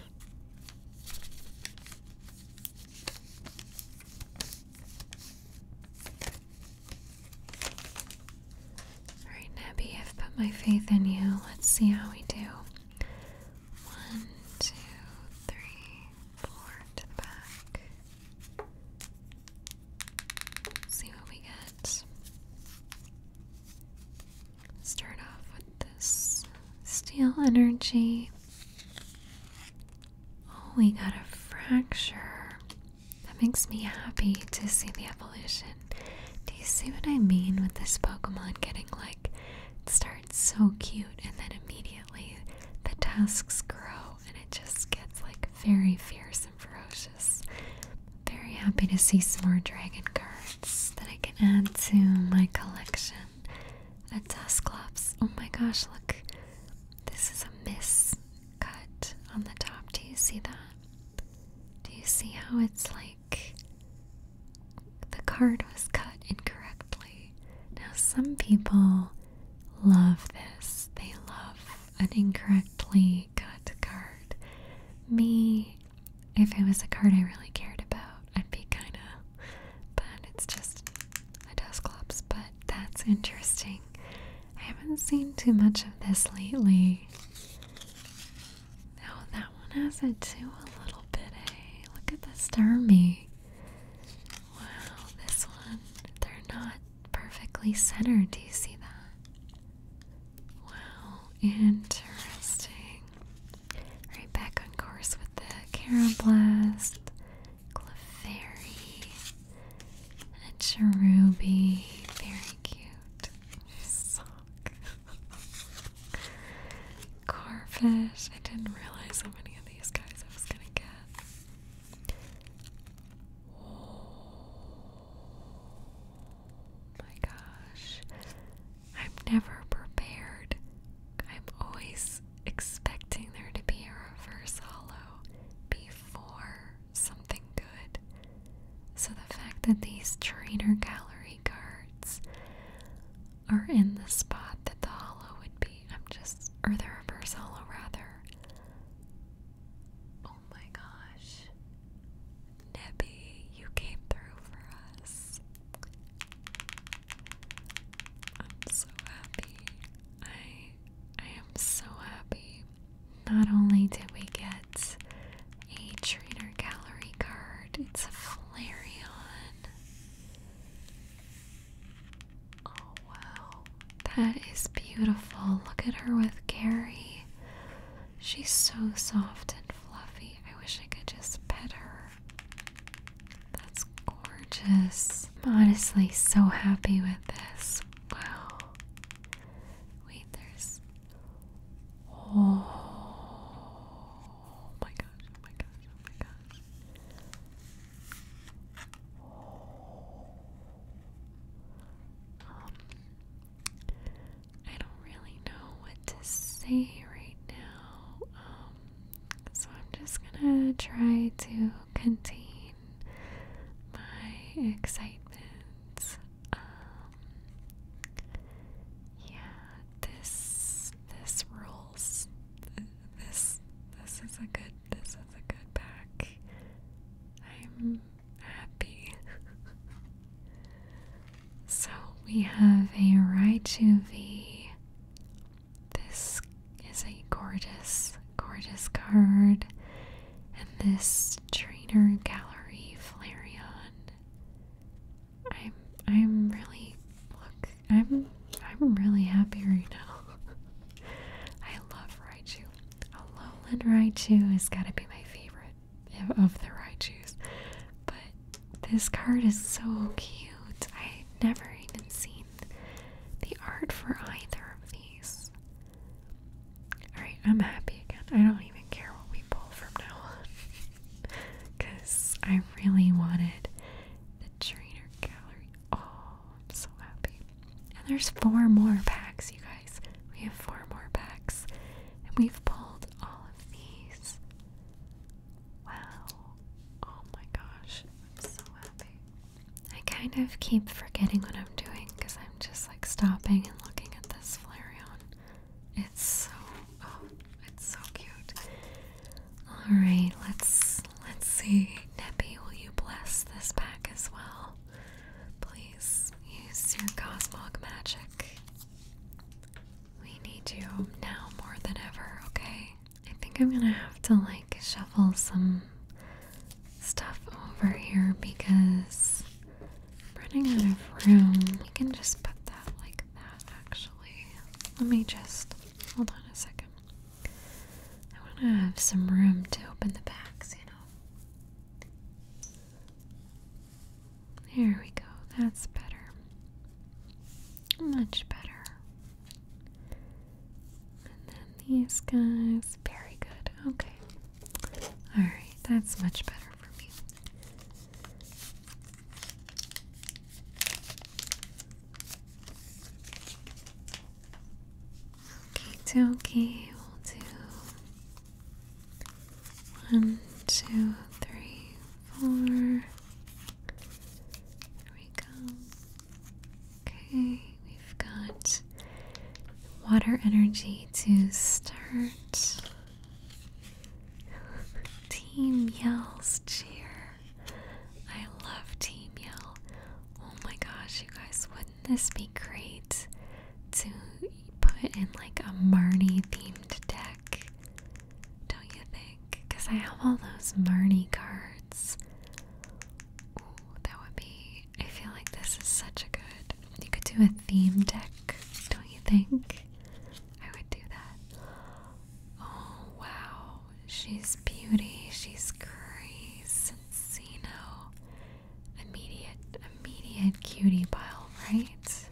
Alright, Nebby, I've put my faith in you. Let's see how we do. One, two, three, four to the back. See what we get. Start off with this steel energy. Oh, we got a fracture. That makes me happy to see the evolution. Do you see what I mean with this Pokemon getting like starts so cute and then immediately the tusks grow and it just gets like very fierce and ferocious. Very happy to see some more dragon cards that I can add to my collection. A Dusclops. Oh my gosh, look. This is a miss cut on the top. Do you see that? Do you see how it's like the card was cut incorrectly? Now, some people love this. They love an incorrectly cut card. Me, if it was a card I really cared about, I'd be kinda. But it's just a desk Dusclops. But that's interesting. I haven't seen too much of this lately. Oh, that one has it too a little bit, eh? Look at the Starmie. Wow, this one. They're not perfectly centered. Do you see that? Wow, interesting. Right back on course with the Caroblast, Clefairy, and Cherubi. Very cute. Sock. Carfish. I didn't realize how many of these guys I was gonna get. Oh my gosh. I'm never prepared. I'm always expecting there to be a reverse hollow before something good. So the fact that these trainer gallery cards are in the spot that the hollow would be, I'm just, or the reverse hollow rather, Oh my gosh. Nebby, you came through for us. I'm so happy. I I am so happy. Not only did we get a trainer gallery card, it's a Flareon. Oh wow, that is beautiful. Look at her with Gary. She's so soft and fluffy. I wish I could just pet her. That's gorgeous. I'm honestly so happy with this. Wow. Wait, there's. Oh my gosh, oh my gosh, oh my gosh. Um, I don't really know what to say right now, um, so I'm just gonna try to contain my excitement. Um, yeah, this this rules. This this is a good this is a good pack. I'm happy. so we have a Raichu V. This is a gorgeous, gorgeous card. And this Trainer Gallery Flareon. I'm I'm really look I'm I'm really happy right now. I love Raichu. A lowland Raichu has got to be my favorite of the Raichus. But this card is so cute. I have never even seen the art for either of these. Alright, I'm happy again. I don't even care what we pull from now on. Because I really wanted the trainer gallery. Oh, I'm so happy. And there's four more packs, you guys. We have four more packs. And we've pulled all of these. Wow. Oh my gosh. I'm so happy. I kind of keep forgetting what I'm doing because I'm just like stopping and looking at this Flareon. It's so oh, it's so cute. Alright, let's let's see. Neppy, will you bless this pack as well? Please use your Cosmog magic. We need you now more than ever, okay? I think I'm gonna have to like shuffle some stuff over here because I'm running out of room. We can just put that like that actually. Let me just hold on a second. I wanna have some room to open the bags, there we go. That's better. Much better. And then these guys. Very good. Okay. Alright, that's much better for me. Okay, okay, we'll do one, two, three, four. There we go. Okay, we've got water energy to start. team yells cheer. I love team yell. Oh my gosh, you guys, what would this be great to put in like a Marnie themed deck? Don't you think? Because I have all those Marnie cards. that would be. I feel like this is such a good. You could do a theme deck, don't you think? I would do that. Oh, wow. She's beauty. She's crazy. and immediate, immediate cutie pie! right?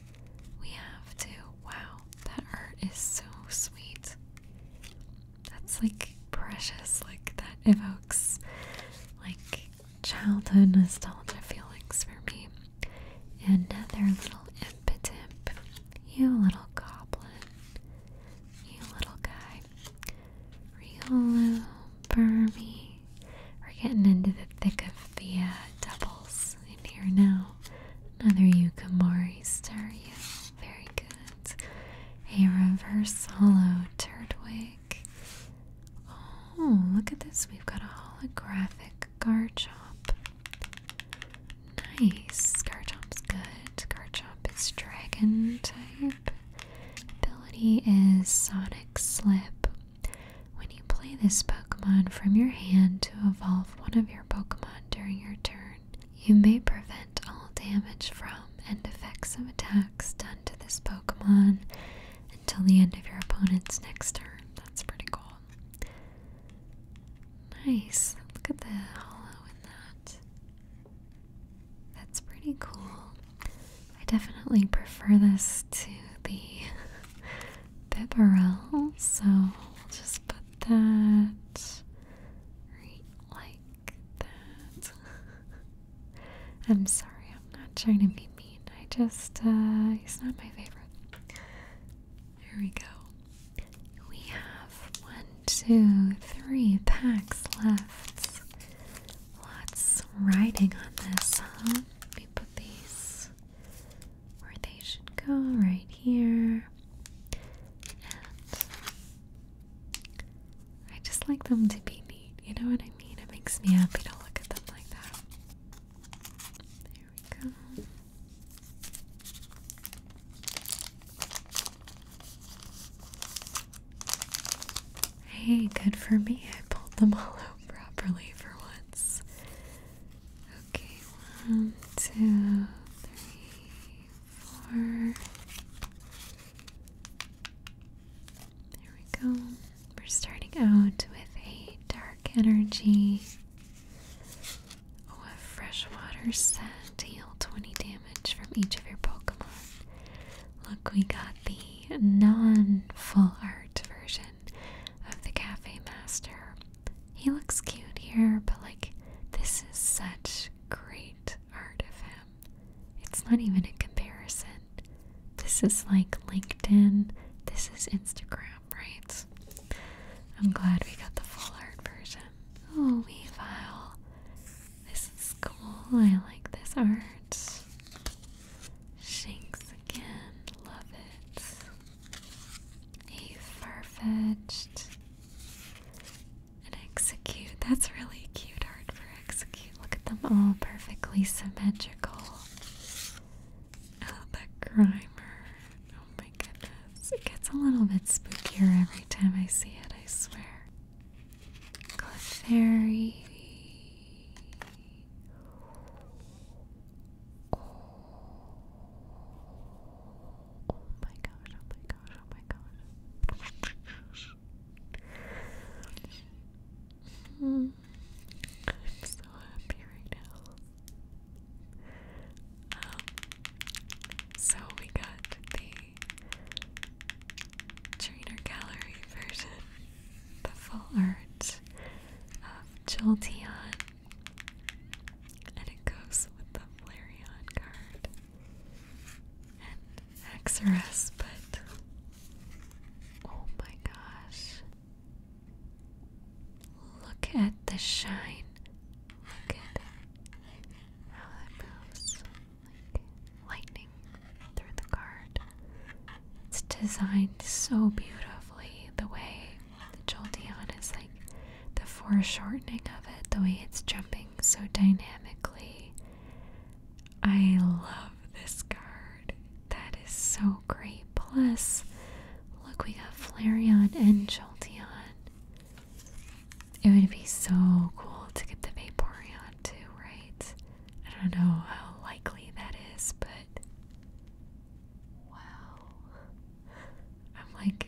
We have to. Wow, that art is so sweet. That's like precious, like that evokes like childhood nostalgia feelings for me. Another little impotent. You little goblin. You little guy. Riolu, Burmy. We're getting into the thick of the uh, doubles in here now. Another Yukamori Stario. Very good. A reverse hollow Turtwig. Oh, look at this. We've got a holographic Garchomp. Nice. Garchomp's good. Garchomp is dragon type. Ability is Sonic Slip. When you play this Pokemon from your hand to evolve one of your Pokemon during your turn, you may prevent all damage from and effects of attacks done to this Pokemon until the end of your opponent's next turn. That's pretty cool. Nice. Look at the hollow in that. That's pretty cool. I definitely prefer this to the Bibarel, so we'll just put that like that. I'm sorry, I'm not trying to be mean. I just, uh, he's not my favorite. There we go. We have one, two, three packs left. Lots writing on this, huh? Let me put these where they should go, right here. And I just like them to be neat, you know what I mean? It makes me happy to look at them like that. There we go. Hey, good for me. I pulled them all out properly for once. Okay, one, two, three, four. There we go. We're starting out with a dark energy. Oh, a freshwater set. Heal 20 damage from each of your Pokemon. Look, we got the non full art version of the Cafe Master. He looks cute here, but like, this is such great art of him. It's not even a comparison. This is like LinkedIn, this is Instagram, right? I'm glad we got the full art version. Oh, we Weavile. This is cool. I like this art. Shanks again. Love it. A far-fetched. And execute. That's really cute art for execute. Look at them all perfectly symmetrical. Oh, the grimer. Oh my goodness. It gets a little bit spookier every time I see it, I swear. Clefairy. Oh. my gosh, oh my gosh, oh my gosh. I'm so happy right now. Um, so we got the Trainer Gallery version, the full art of Jolteon, and it goes with the Flareon card and Axorus, but oh my gosh. Look at the shine. Look at how that moves lightning through the card. It's designed so beautifully the way the Jolteon is like the foreshortening of it, the way it's jumping so dynamically. I love this card. That is so great. Plus, look, we got Flareon and Joltion. It would be so cool to get the Vaporeon on right? I don't know how likely that is, but wow. I'm like,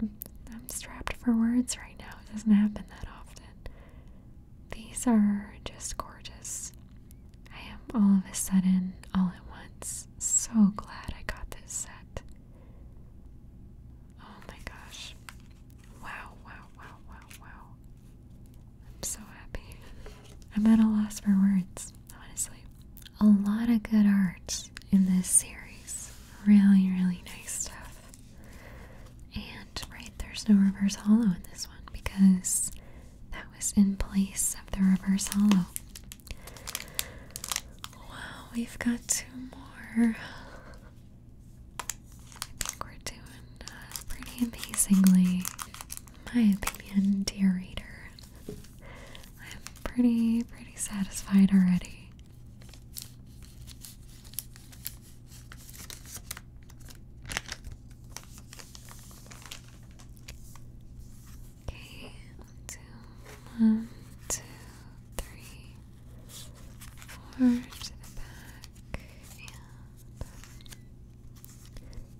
I'm strapped for words right now. It doesn't happen that often. These are just gorgeous. I am all of a sudden, all at once, so glad I got this set. Oh my gosh. Wow, wow, wow, wow wow. I'm so happy. I'm at a loss for words, honestly. A lot of good art in this series. Really, really nice stuff. And, right, there's no reverse hollow in this one because that was in place of the reverse hollow. Wow, we've got two more. I think we're doing pretty amazingly, in my opinion, dear reader. I'm pretty, pretty satisfied already. Okay, two, one, two, three, four to the back, and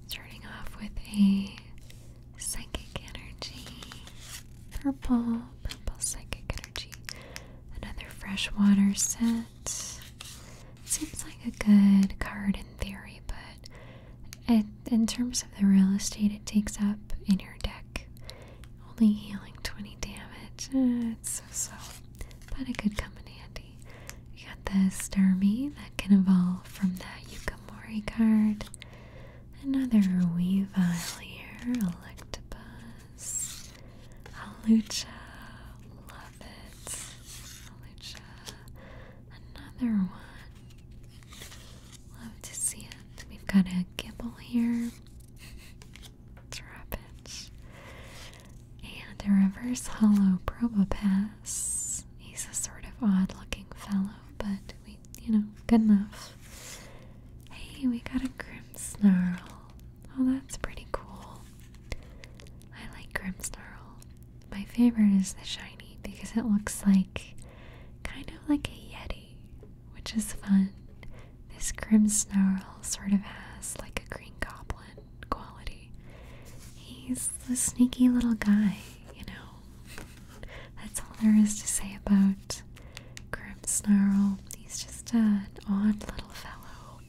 Starting off with a psychic energy, purple, purple psychic energy. Another freshwater set. Seems like a good card in theory, but in terms of the real estate it takes up in your deck, only healing 20 damage. Uh, it's so so, but it could come in handy already. We got the Starmie that can evolve from that Yukamori card. Another Weavile here, Electabuzz, Alucha, love it, Alucha, another one, love to see it. We've got a Gibble here, drop it, and a reverse hollow Probopass. He's a sort of odd looking fellow, but we, you know, good enough. Hey, we got a grim snarl. Oh, that's pretty cool. I like grim snarl. My favorite is the shiny because it looks like kind of like a Yeti, which is fun. This grim snarl sort of has like a green goblin quality. He's the sneaky little guy, you know. That's all there is to say about Snarl. He's just an odd little fellow.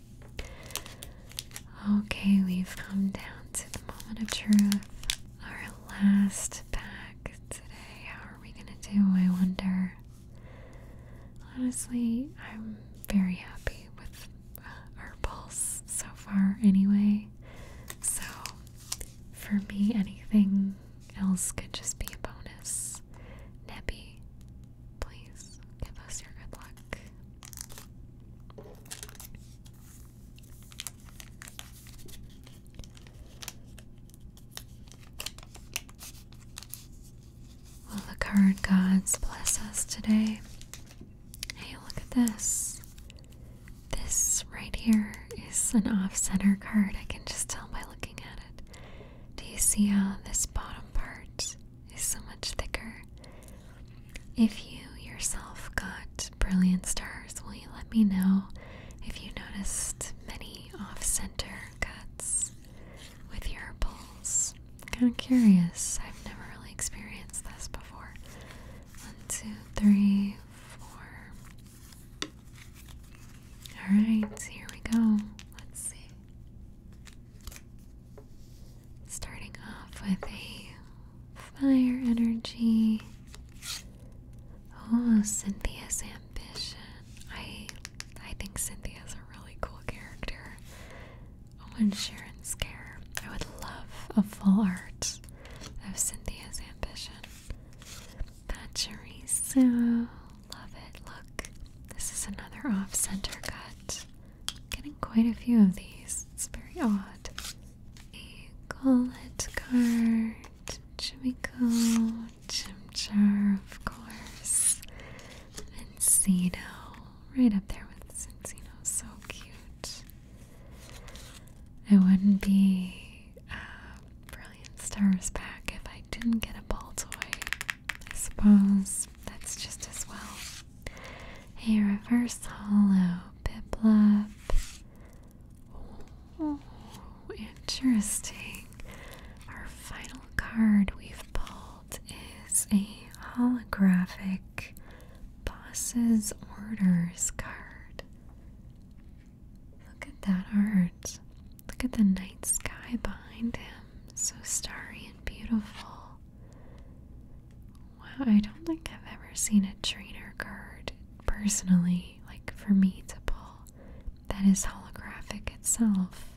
Okay, we've come down to the moment of truth. Our last pack today. How are we gonna do? I wonder. Honestly, I'm very happy with our pulse so far, anyway. So, for me, anything else could just be a bonus. Nebby, please give us your good luck. Will the card gods bless us today? Hey, look at this. This right here is an off center card. I can just tell by looking at it. Do you see how this bottom part is so much thicker? If you yourself got brilliant stars, will you let me know if you noticed many off center cuts with your pulls? kind of curious. I've never really experienced this before. One, two, three, four. Alright, here we go. Let's see. Starting off with a fire energy. Oh, Cynthia's ambition. I I think Cynthia's a really cool character. Owen Sharon's care. I would love a full art of Cynthia's ambition. Pachorizo. Love it. Look, this is another off center cut. Getting quite a few of these. It's very odd. A Gollet card. Chimico. Chimchar, of course. and Mencino right up there with Cincino. So cute. I wouldn't be a Brilliant Stars back if I didn't get a ball toy. I suppose that's just as well. A Reverse Hollow, Piplup. Oh, interesting. Our final card we've pulled result is a holographic boss's orders card. Look at that art. Look at the night sky behind him. So starry and beautiful. Wow, I don't think I've ever seen a trainer card personally, like for me to pull, that is holographic itself.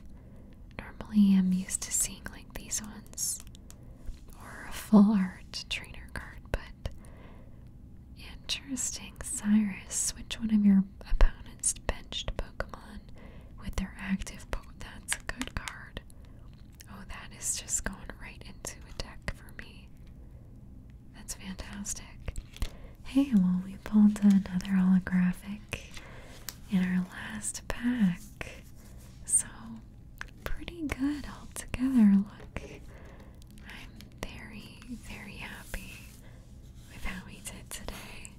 Normally I'm used to seeing like these ones or a full art trainer card, but interesting. Cyrus, which one of your opponents benched Pokemon with their active Pokemon? That's a good card. Oh, that is just going right into a deck for me. That's fantastic. Hey, well, we pulled another holographic in our last pack. So pretty good altogether. Look, I'm very, very happy with how we did today.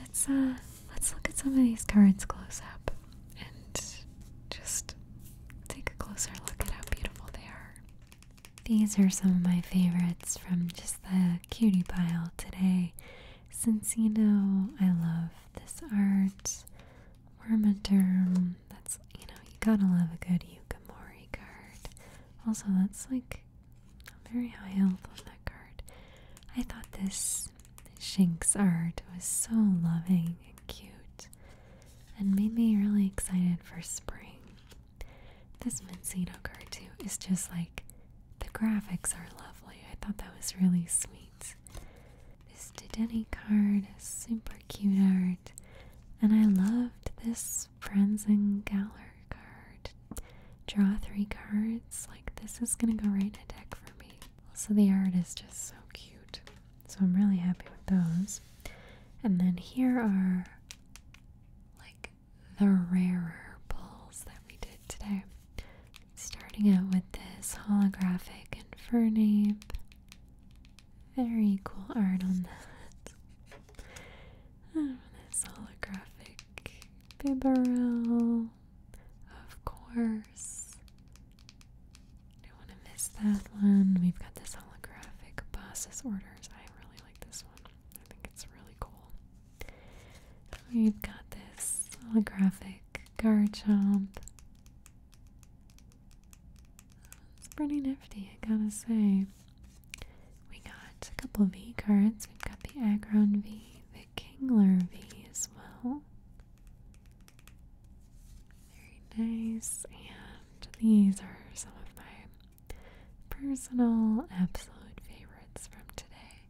Let's uh let's look at some of these cards close up and just take a closer look at how beautiful they are. These are some of my favorites from just the cutie pile today. Since you know I love this art, Wormaderm. That's, you know, you gotta love a good Yukimori card. Also, that's like very high health on that card. I thought this Shinx art was so loving and cute and made me really excited for spring. This Mincino card, too, is just like the graphics are lovely. I thought that was really sweet. This Dedenne card is super cute art, and I loved this Friends and Galler card. Draw three cards. Like, this is gonna go right in a deck for me. Also, the art is just so cute, so I'm really happy with those. And then here are like the rarer pulls that we did today starting out with this holographic Infernape. Very cool art on that. Oh, this holographic Bibarel. Of course. Don't want to miss that one. We've got this holographic Boss's Orders. I really like this one. I think it's really cool. We've got this holographic Garchomp. It's pretty nifty, I gotta say. We got a couple V cards. We've got the Agron V, the Kingler V as well. Very nice. And these are some of my personal absolute favorites from today.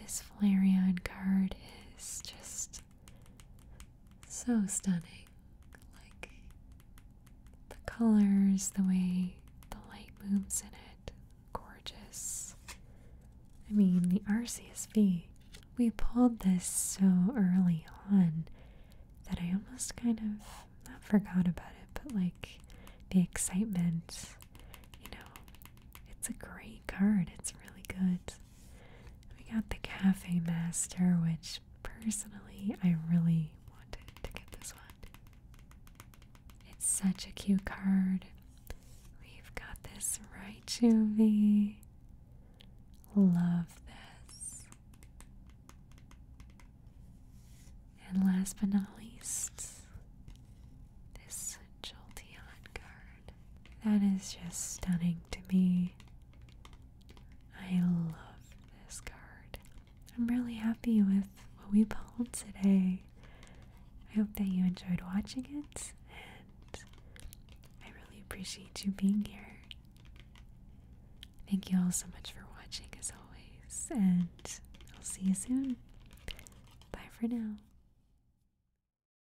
This Flareon card is just so stunning. Like the colors, the way the light moves in it. Gorgeous. I mean, the RCSV. We pulled this so early on that I almost kind of forgot about it, but like the excitement, you know, it's a great card. It's really good. We got the Cafe Master, which personally I really wanted to get this one. It's such a cute card. We've got this Raichu V. Love this. And last but not least, this Jolteon card. That is just stunning to me. I love this card. I'm really happy with what we pulled today. I hope that you enjoyed watching it, and I really appreciate you being here. Thank you all so much for watching, as always, and I'll see you soon. Bye for now.